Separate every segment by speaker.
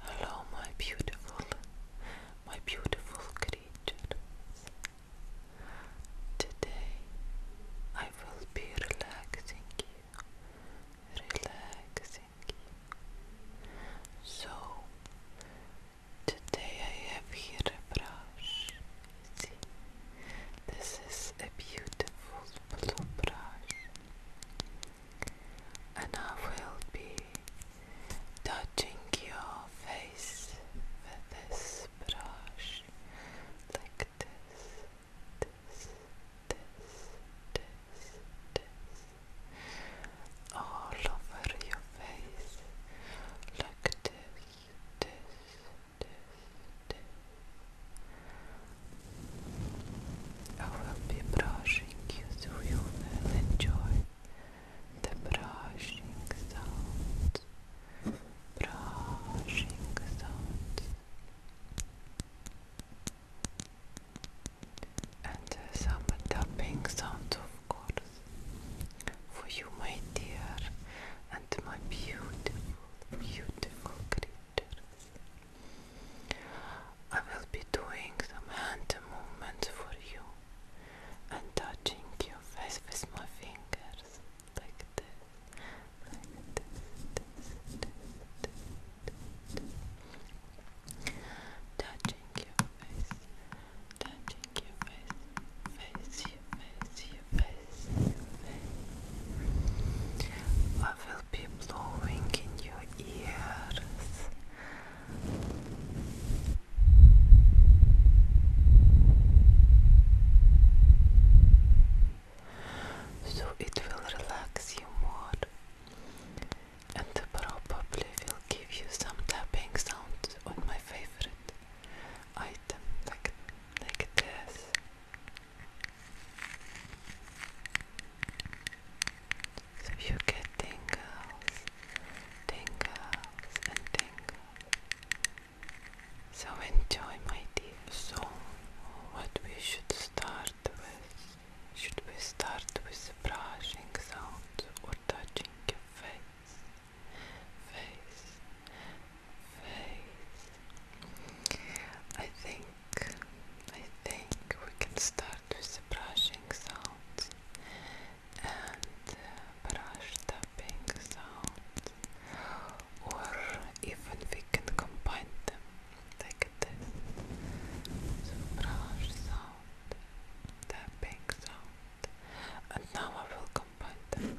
Speaker 1: Hello, my beautiful, my beautiful creatures. Today I will be relaxing you, relaxing you. So, today I have here a brush. See, this is a beautiful blue brush and I will be touching your face with this brush like this, this, this, this, this, all over your face like this, this, this, this. I will be brushing you so you will enjoy the brushing sounds. Brushing sounds. And uh, some tapping sounds, of course, for you, my dear, and my beautiful, beautiful creature. I will be doing some hand movements for you and touching your face with my fingers like this, like this, this, this, this, touching your face, touching your face, face face, face, face will be blowing in your ears. So it will relax you more and probably will give you some tapping sounds on my favorite item like like this. So you get tingles, tingles, and tingles. So enjoy, my dear. So, what we should start with? Should we start with brushing sounds or touching your face? Face, face. I think I think we can start with the brushing sound and uh, brush tapping sounds, or even we can combine them like this. brush sound, tapping sound, and now I will combine them.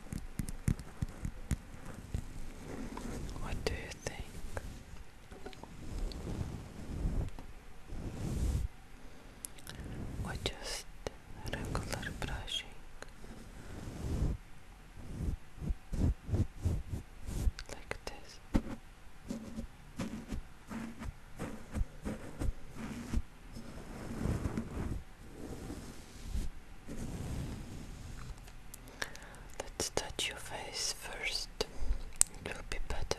Speaker 1: What do you think? Or just regular brushing? Like this. Let's touch your face first. It will be better,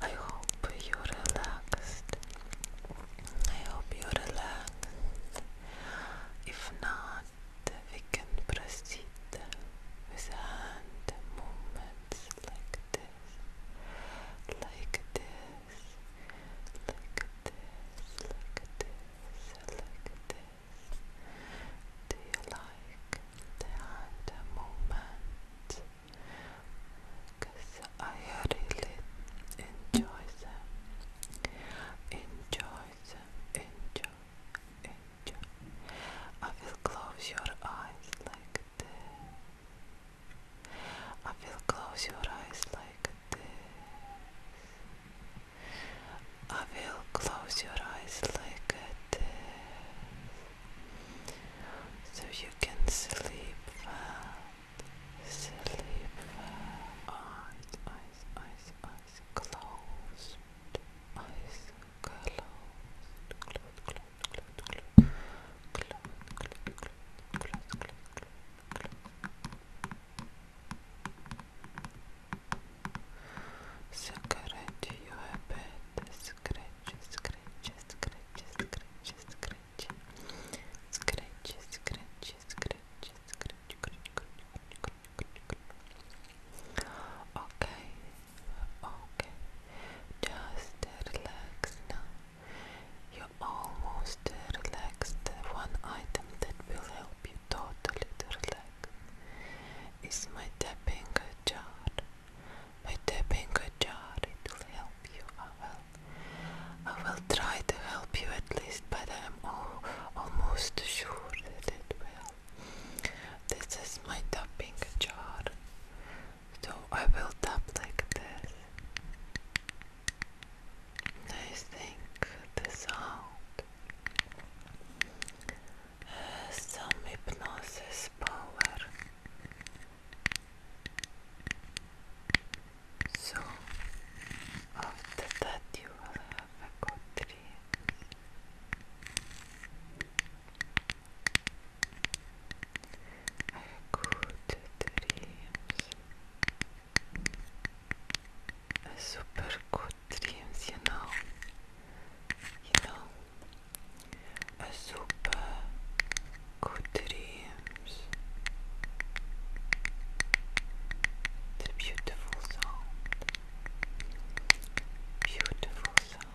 Speaker 1: I hope you're relaxed. I hope you're relaxed. If not, we can proceed with hand movements like this, like this, like this, like this, like this. Do you like the hand movement? Cause I really enjoy them. Enjoy them. Enjoy. Enjoy. I will close your eyes like this. I will close your eyes like this. I will close your eyes like this so you can sleep well. Sleep well. Eyes, eyes, eyes, eyes closed. Eyes closed. Close, close, close, close. Close, close, close, close, close, close. Zakarać you habit. Scratch, scratch, scratch, scratch, scratch. Scratch, scratch, scratch, scratch, Okay, okay. Just relax now almost relaxed, one item that will help you totally to relax is my tapping jar. My tapping jar, it will help you. I will, I will try to help you at least, but I'm all, almost sure that it will. This is my tapping jar, so I will tap like this. I think the sound has uh, some hypnosis power. So, after that, you will have a good dream. A good dreams super good dreams, you know. You know, a super good dreams. It's beautiful sound. Beautiful sound.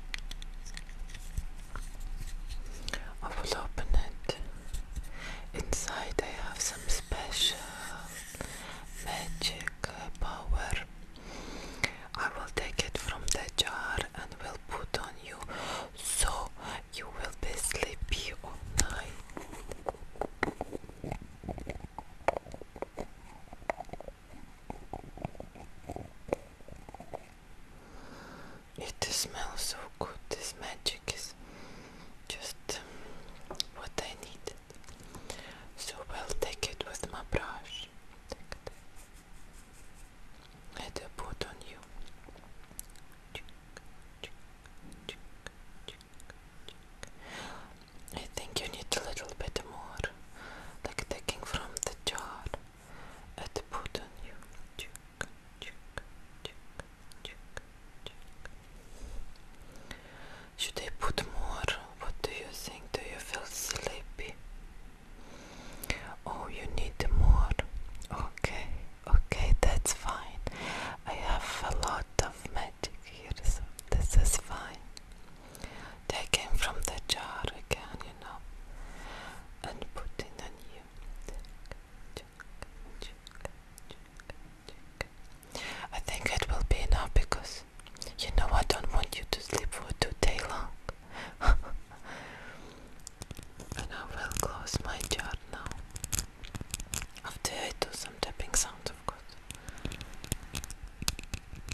Speaker 1: I will open it. Inside I have some special magic power. I will take it from the jar and will put on you so you will be sleepy all night. It smells so good. This magic is just um, what I needed. So I'll take it with my brush. Take it. put on you. I think you need a little bit more, like taking from the jar and put on you. Should I put more? What do you think? Do you feel sleepy? Oh, you need more. Okay, okay, that's fine. I have a lot of catechism. This is fine. They came from the jar again, you know, and put in a new. I think it will be enough because, you know, I don't want you to sleep for too day long. and I will close my jar now. After I do some tapping sound, of course.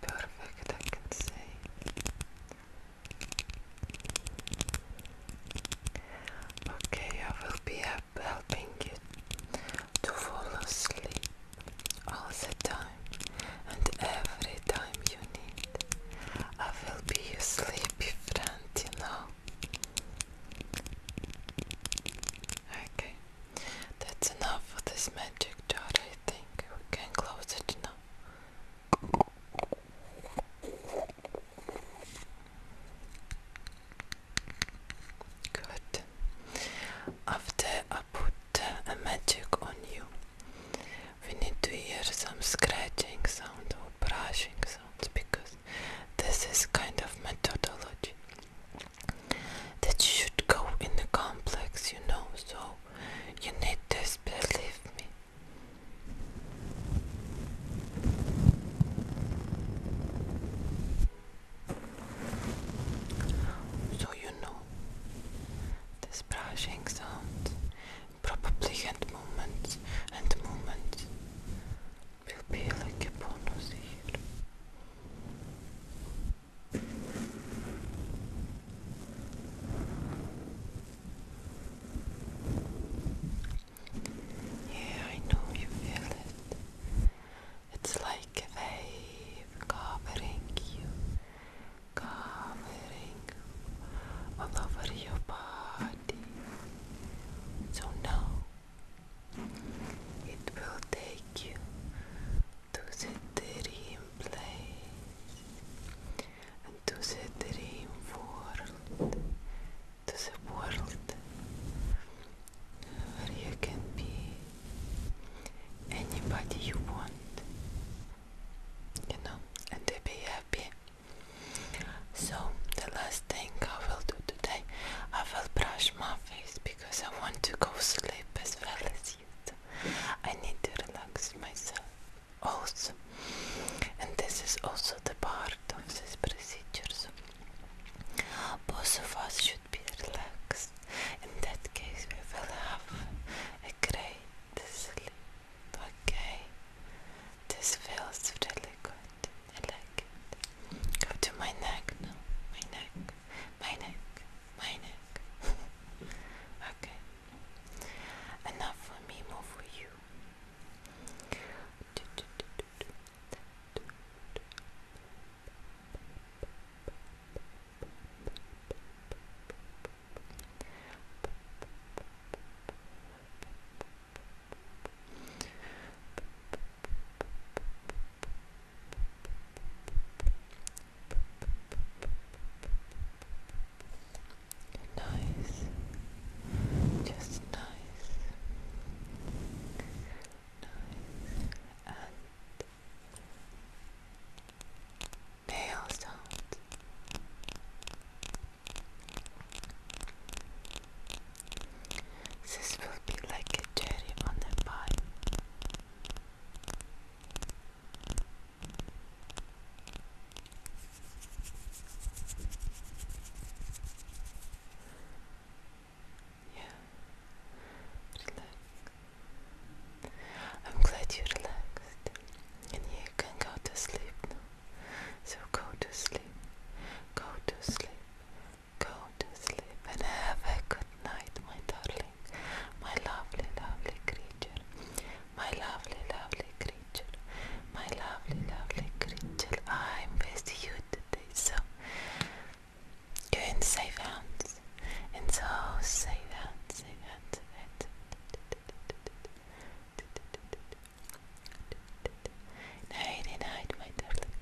Speaker 1: Perfect, I can say. Okay, I will be helping you to fall asleep all the time and every time you need. I will be your sleepy friend, you know. Okay, that's enough for this magic jar, I think we can close it now. Good. After I put uh, a magic on you, we need to hear some scratching sound or brushing sounds because this is kind of methodology that should go in the complex, you know. So you need this, believe me. So you know, this brushing sound, probably hand movements and movements will be like a bonus here. Yeah, I know you feel it. It's like a wave covering you, covering over your body. So now it will take you to the dream place and to the dream world, to the world where you can be anybody you want, you know, and be happy. So, the last thing I will do today, I will brush my face because I want to go sleep as well as you. I need to relax myself also. And this is also the part of these procedures. Both of us should be relaxed. In that case, we will have a great sleep. Okay, this feels really good. I like it. Go to my neck now. My neck. My neck my neck. okay. Enough for me, more for you. Nice, just nice, nice, and nail sound. This will be like a cherry on the pie. Yeah. Relax. I'm glad you relaxed and you can go to sleep now. So go to sleep. Go to sleep. Go to sleep and have a good night, my darling, my lovely, lovely creature, my lovely, lovely creature, my lovely, lovely creature. I'm with you today, so you're in safe hands, and so safe hands, safe hands, safe hands. Nighty night, my darling.